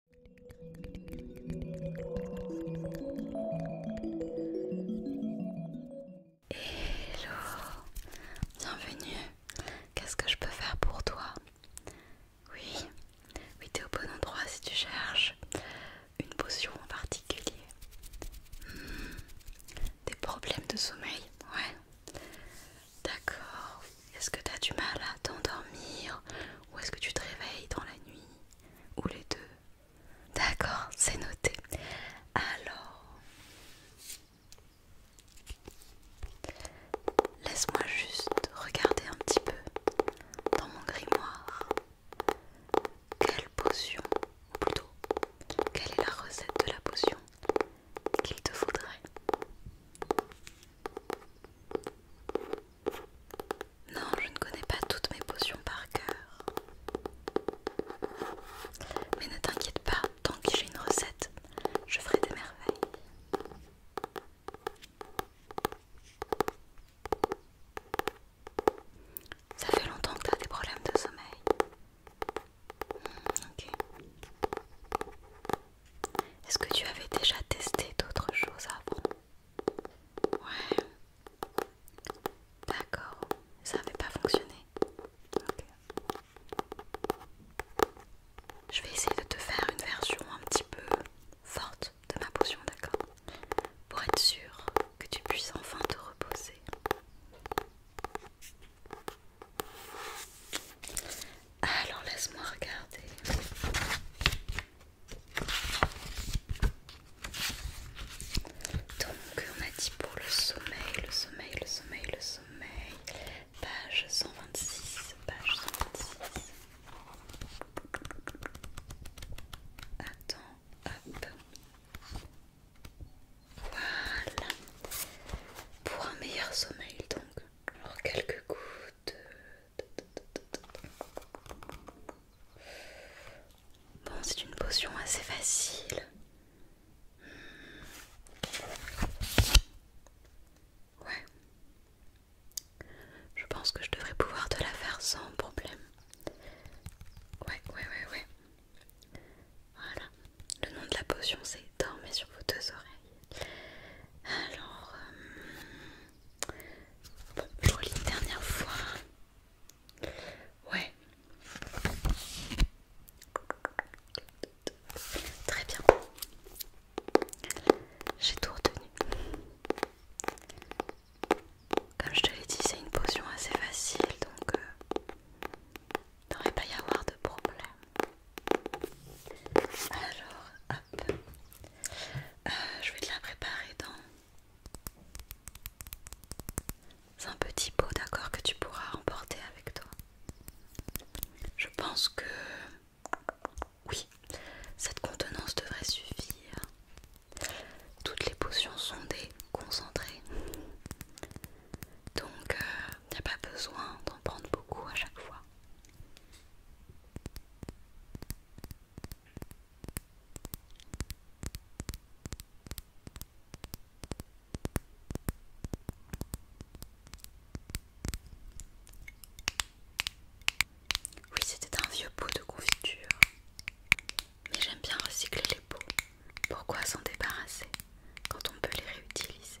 Hello, bienvenue. Qu'est-ce que je peux faire pour toi Oui, oui, t'es au bon endroit si tu cherches une potion en particulier. Hmm. Des problèmes de sommeil, ouais. D'accord, est-ce que tu as du mal à t'endormir ou est-ce que tu te réveilles dans la nuit ou les deux D'accord, c'est noté. Alors, laisse-moi juste regarder un petit peu dans mon grimoire quelle potion, ou plutôt, quelle est la recette de la potion qu'il te faudrait. Non, je ne connais pas toutes mes potions par cœur. Mais ne t'inquiète pas, tant que j'ai une recette, je ferai des merveilles. Ça fait longtemps que tu as des problèmes de sommeil. Hmm, Est-ce que tu avais déjà testé d'autres choses avant Ouais. D'accord. Ça n'avait pas fonctionné. ok Je vais essayer de te faire une version un petit peu forte de ma potion, d'accord Pour être sûr que tu puisses enfin te reposer. Alors laisse-moi regarder. Donc on a dit pour le sommeil, le sommeil, le sommeil, le sommeil, page 126, page 126. Attends, hop. Voilà. Pour un meilleur sommeil donc. Alors quelques gouttes Bon, c'est une potion assez facile. Hmm. Ouais. Je pense que je devrais pouvoir te la faire sans problème. Ouais, ouais, ouais, ouais. Voilà. Le nom de la potion, c'est Dormez sur vos deux oreilles. Alors... Euh, je dernière fois. Ouais. Très bien. J'ai tout retenu. Comme je te l'ai dit, c'est une potion assez facile, donc euh, devrait pas y avoir de problème. Alors, hop. Euh, je vais te la préparer dans un petit pot, d'accord, que tu pourras emporter avec toi. Je pense que oui, cette contenance devrait suffire. Toutes les potions sont déconcentrées Donc, il euh, n'y a pas besoin d'en prendre beaucoup à chaque fois. Oui, c'était un vieux pot de confiture. Mais j'aime bien recycler les pots. Pourquoi s'en débarrasser quand on peut les réutiliser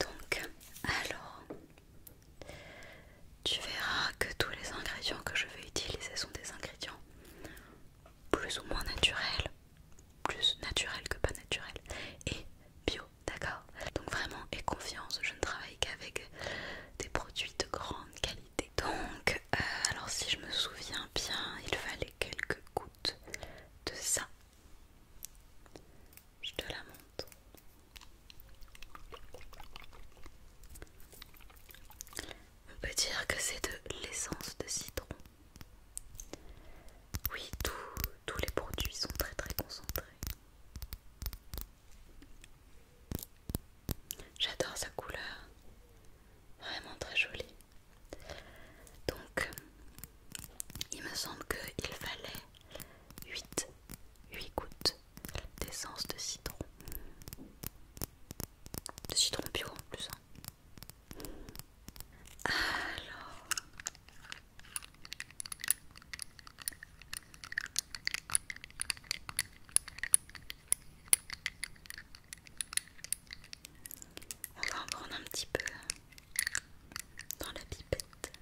Donc, alors, tu verras que tous les ingrédients que je vais utiliser sont des ingrédients plus ou moins naturels, plus naturels que pas naturels, et bio, d'accord Donc vraiment, et confiance, je ne travaille qu'avec des produits de grande qualité. Donc, euh, alors si je me souviens bien il fallait quelques gouttes de ça je te la montre on peut dire que c'est de l'essence de citron oui tous les produits sont très très concentrés J'adore sa couleur, vraiment très jolie. Donc, il me semble qu'il fallait 8, 8 gouttes d'essence de citron. De citron bio en plus. Hein. Alors... On va en prendre un petit peu dans la pipette.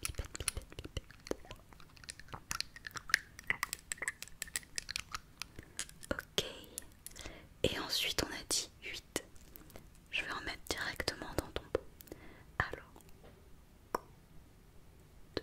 Pipette, Ok. Et ensuite on a dit 8. Je vais en mettre directement dans ton pot. Alors. 2,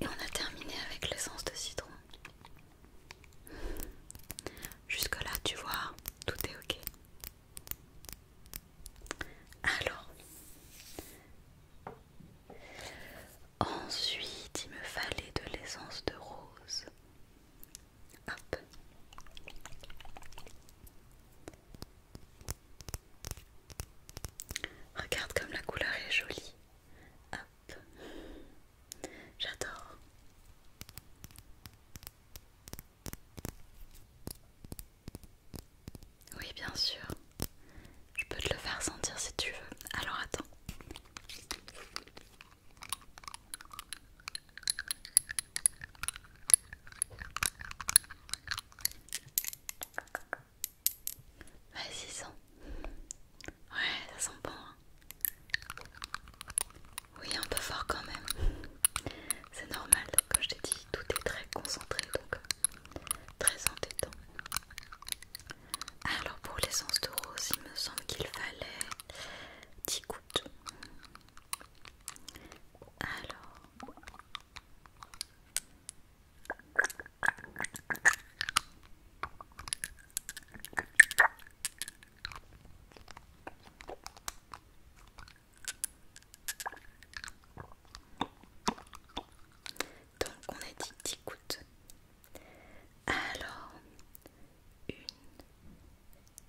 Et on a terminé avec l'essence de citron. Jusque-là, tu vois, tout est ok. Alors, ensuite, il me fallait de l'essence de rose. Hop. Regarde comme la couleur est jolie. Hop. J'adore. Oui, bien sûr. Je peux te le faire sentir si tu veux. Alors attends. Vas-y, sens. Ouais, ça sent bon. Hein. Oui, un peu fort quand même. C'est normal, comme je t'ai dit, tout est très concentré donc très entêtant. Alors, pour l'essence de rose, il me semble qu'il fallait 10 gouttes. Alors. Donc on a dit dix gouttes. Alors, Une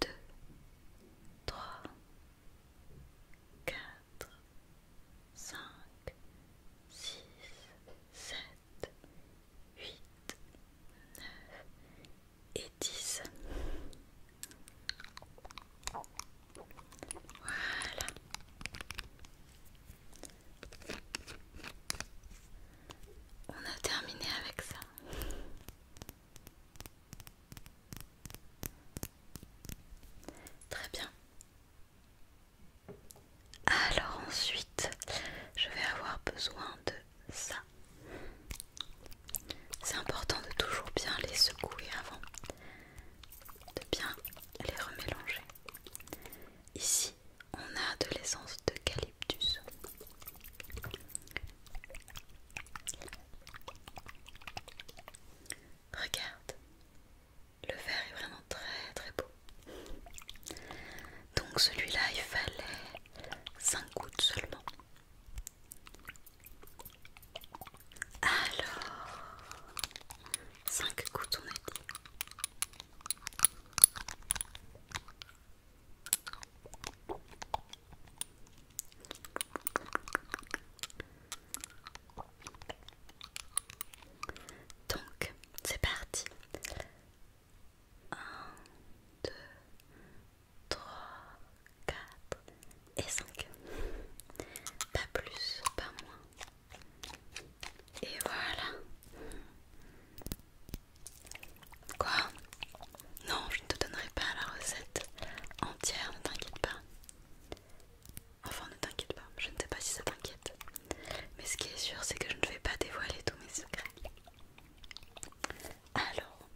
Deux Trois Quatre 5, 6, 7, 8, 9 et 10. Voilà. On a terminé avec ça. Très bien. Alors ensuite, je vais avoir besoin de ça. C'est important de toujours bien les secouer avant, de bien les remélanger. Ici, on a de l'essence d'eucalyptus. Regarde, le vert est vraiment très très beau. Donc celui-là, il fallait cinq gouttes seulement. Alors, cinq gouttes on a donc, c'est parti. 1, 2, 3, 4 et 5. Pas plus, pas moins. Et voilà. Quoi Non, je ne te donnerai pas la recette entière, ne t'inquiète pas. Enfin ne t'inquiète pas, je ne sais pas si ça t'inquiète. Mais ce qui est sûr c'est que je ne vais pas dévoiler tous mes secrets. Alors,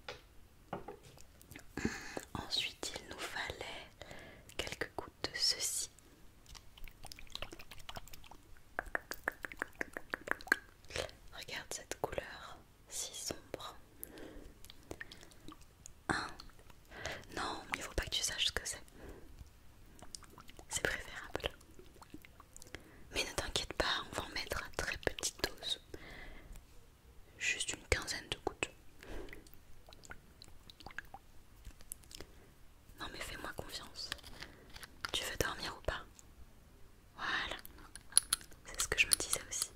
hmm, ensuite il nous fallait quelques gouttes de ceci. Regarde cette couleur si sombre. Hein Non, il ne faut pas que tu saches ce que c'est. C'est préférable. Mais ne t'inquiète pas, on va en mettre à très petite dose. Juste une quinzaine de gouttes. Non mais fais-moi confiance. Tu veux dormir ou pas Voilà. C'est ce que je me disais aussi.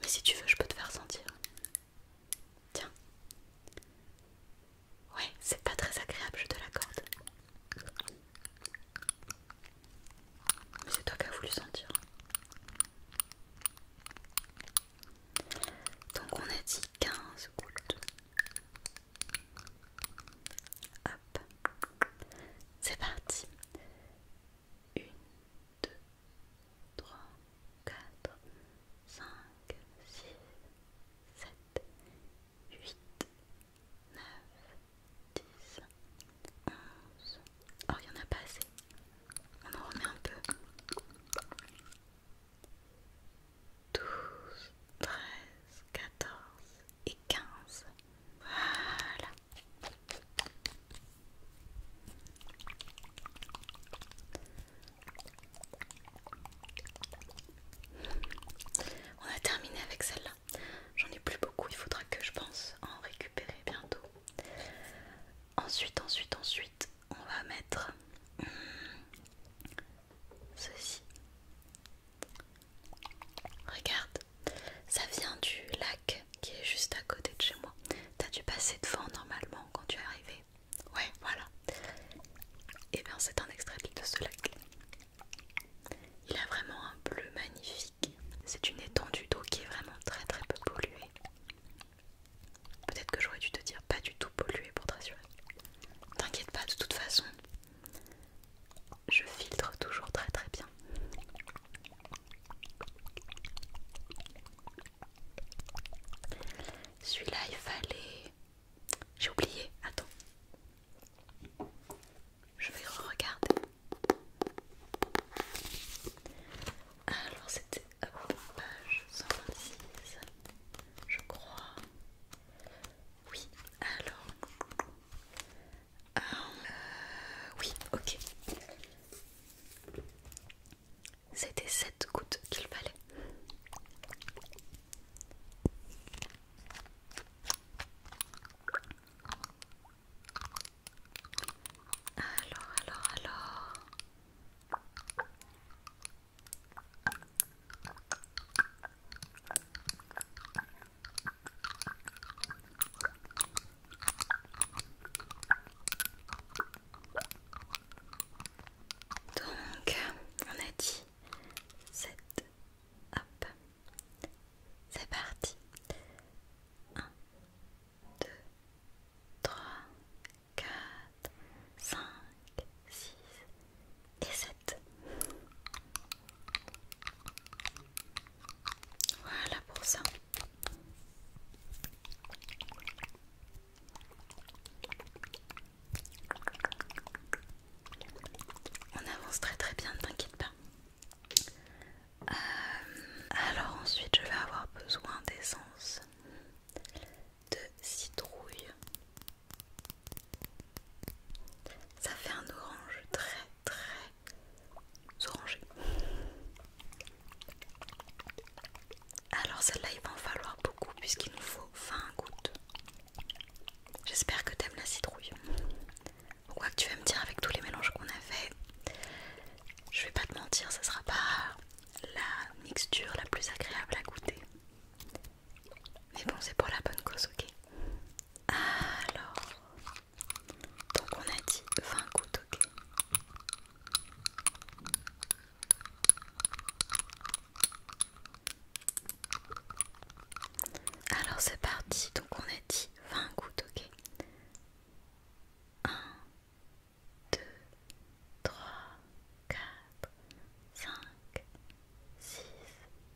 Mais si tu veux, je peux te faire sentir. Tiens. Ouais, c'est pas très agréable, je te l'accorde. Mais c'est toi qui as voulu sentir. Donc on a dit 15 gouttes. Hop, c'est parti. 1, 2, 3, 4, 5, 6, 7, 8, 9, 10, 11. Oh, il n'y en a pas assez. On en remet un peu. 12, 13, 14 et 15. Voilà. On a terminé avec celle-là. J'en ai plus beaucoup, il faudra que je pense en récupérer bientôt. Ensuite, ensuite, ensuite, on va mettre hmm, ceci. Regarde, ça vient du lac qui est juste à côté de chez moi. T'as dû passer devant normalement quand tu es arrivé. Ouais, voilà. Et eh bien c'est un extrait de ce lac. Il a vraiment un bleu magnifique. C'est une étendue d'eau qui est vraiment très très peu polluée. Peut-être que j'aurais dû te dire pas du tout polluée pour te rassurer. T'inquiète pas, de toute façon, je filtre toujours très très bien. Celui-là, il fallait... J'ai oublié, attends. Je vais regarder. Alors c'était page 126, je crois. Oui, alors. Euh, oui, ok. C'était sept gouttes qu'il fallait. Alors, alors, alors. Donc, on a dit 7. Hop, c'est parti. 1, 2, 3, 4, 5, 6, et 7. Voilà pour ça. On avance très très bien, ne t'inquiète pas. Euh, alors ensuite, je vais avoir besoin d'essence de citrouille ça fait un orange très très orangé. Alors celle-là il va en falloir beaucoup puisqu'il nous faut 20 gouttes. J'espère que t'aimes la citrouille. Quoi que tu vas me dire avec tous les mélanges qu'on a fait, je vais pas te mentir, ça sera pas la mixture la plus agréable à goûter. Mais bon, c'est pour la bonne cause, ok Alors, donc on a dit 20 gouttes, ok alors c'est parti, donc on a dit 20 gouttes, ok 1, 2, 3, 4, 5, 6,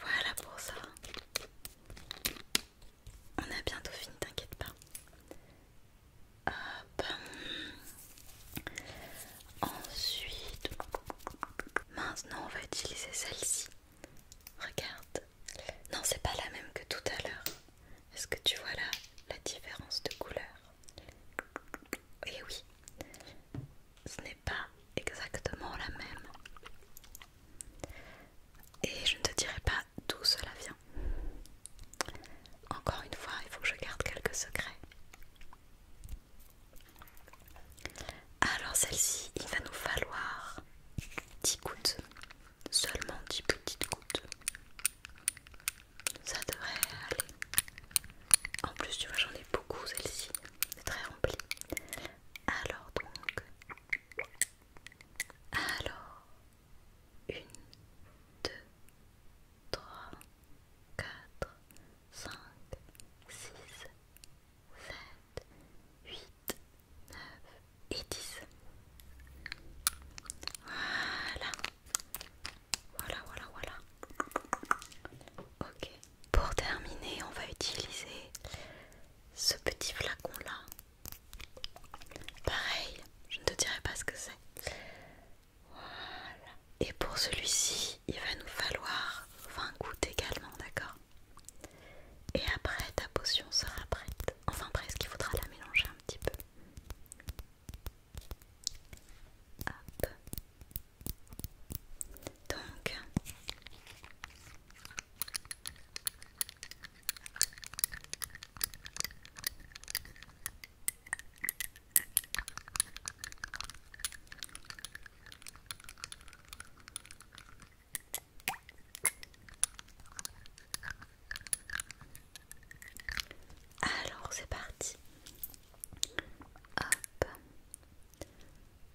Voilà pour ça. On a bientôt fini, t'inquiète pas. Hop. Ensuite, maintenant on va utiliser celle-ci. Regarde. Non, c'est pas la même que tout à l'heure. Est-ce que tu vois là la différence de couleur Et eh oui, ce pas exactement la même. Et je ne te dirai pas d'où cela vient. Encore une fois, il faut que je garde quelques secrets. Alors celle-ci, il va nous falloir 10 gouttes. Seulement 10 petites gouttes. Ça devrait aller. En plus tu vois j'en ai beaucoup celle-ci, c'est très rempli. Alors donc... Alors... 1, 2, 3, 4, 5, 6, 7, 8, 9 et 10. Voilà. Voilà, voilà, voilà. Ok. Pour terminer, on va utiliser ce petit flacon là. Pareil, je ne te dirai pas ce que c'est. Voilà. Et pour celui-ci, il va nous falloir 20 gouttes également, d'accord Et après, ta potion sera prête. Enfin presque, il faudra la mélanger un petit peu. Hop. Donc, alors c'est parti. Hop.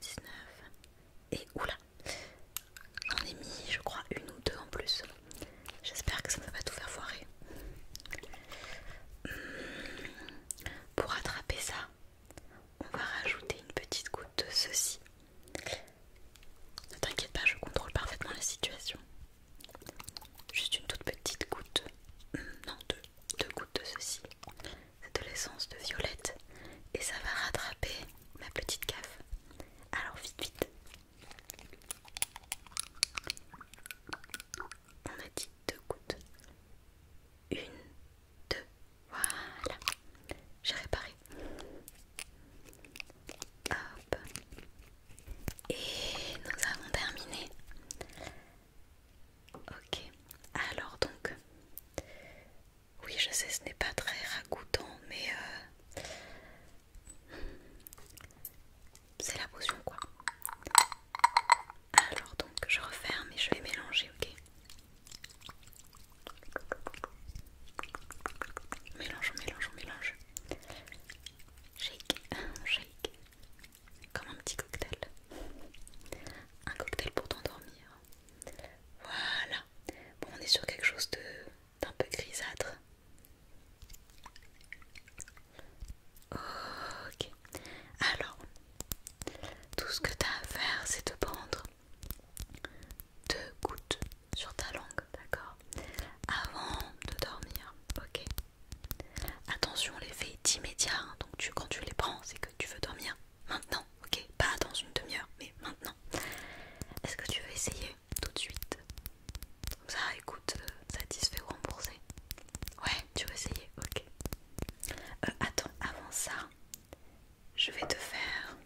19 et oula j'en ai mis je crois une ou deux en plus j'espère que ça ne va pas tout faire foirer hmm. pour attraper ça on va rajouter une petite goutte de ceci ne t'inquiète pas je contrôle parfaitement la situation juste une toute petite goutte hmm, non deux, deux gouttes de ceci c'est de l'essence de violette et ça va rattraper ma petite cave. Alors vite vite. On a dit deux gouttes. Une, deux. Voilà. J'ai réparé. Hop. Et nous avons terminé. Ok. Alors donc, oui, je sais, ce n'est pas très ragoûtant, mais euh, c'est la potion quoi. Alors donc, je referme et je vais mélanger, ok Mélange, mélange, mélange. Shake, shake. Comme un petit cocktail. Un cocktail pour t'endormir. Voilà. Bon, on est sur quelque chose d'un peu grisâtre. Ok. Alors, tout ce que tu as à faire, c'est de prendre deux gouttes sur ta langue, d'accord Avant de dormir, ok Attention, l'effet est immédiat, hein. donc tu, quand tu les prends, c'est que tu veux dormir Maintenant, ok Pas dans une demi-heure, mais maintenant. Est-ce que tu veux essayer tout de suite Comme ça, écoute, satisfait euh, ou remboursé Ouais, tu veux essayer, ok. Euh, attends, avant ça, je vais te faire...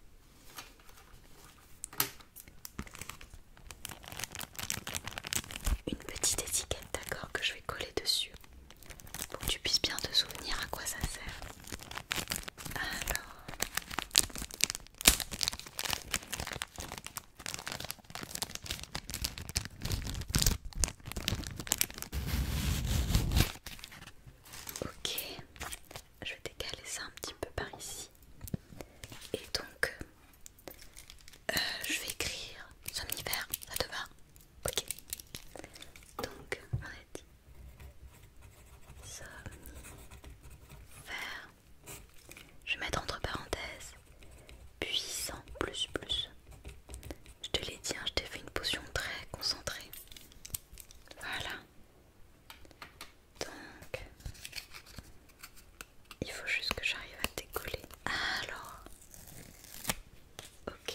Une petite étiquette, d'accord, que je vais coller dessus pour que tu puisses bien te souvenir à quoi ça sert. Alors. Ok, je vais décaler ça un petit peu par ici. Et donc, euh, je vais écrire somnifère, ça te va Ok. Donc, on a dit Je vais mettre entre parenthèses puissant plus plus. Je te l'ai dit, hein, je t'ai fait une potion très concentrée. Voilà. Donc, il faut juste que j'arrive à décoller. Alors, ok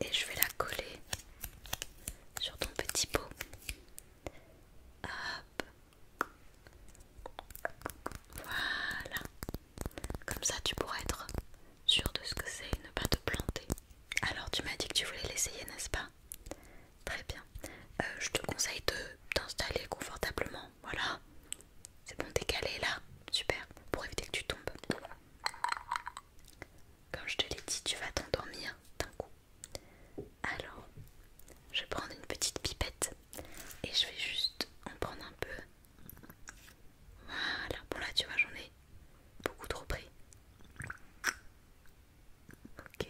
et je vais la coller sur ton petit pot. Hop. Voilà. Comme ça tu pourras être sûr de ce que c'est et ne pas te planter. Alors tu m'as dit que tu voulais l'essayer, n'est-ce pas Très bien. Euh, je te conseille de t'installer confortablement. Voilà. C'est bon, d'écaler là. Super. Pour éviter que tu tombes. Comme je te l'ai dit, tu vas t'endormir d'un coup. Alors, je vais prendre une petite pipette et je vais juste en prendre un peu. Voilà, bon là tu vois, j'en ai beaucoup trop pris. Ok.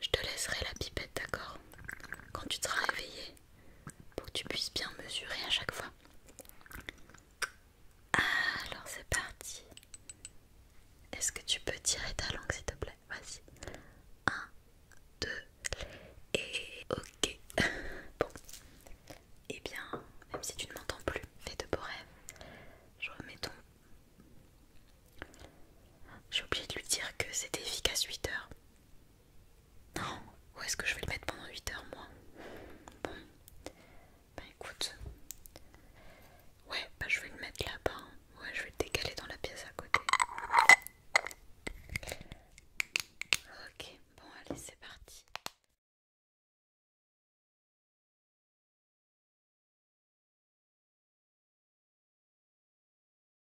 Je te laisserai la pipette, d'accord Quand tu seras réveillé pour que tu puisses bien mesurer à chaque fois. Alors c'est parti. Est-ce que tu peux tirer ta langue s'il te plaît Vas-y. 1, 2, et ok. bon. Et eh bien, même si tu ne m'entends plus, fais de beaux rêves. Je remets ton... J'ai oublié de lui dire que c'était efficace 8 heures. Non, où est-ce que je vais le mettre pendant 8 heures moi Bon, bah écoute. Ouais, bah je vais le mettre là-bas. Hein. Ouais, je vais le décaler dans la pièce à côté. Ok, bon allez, c'est parti.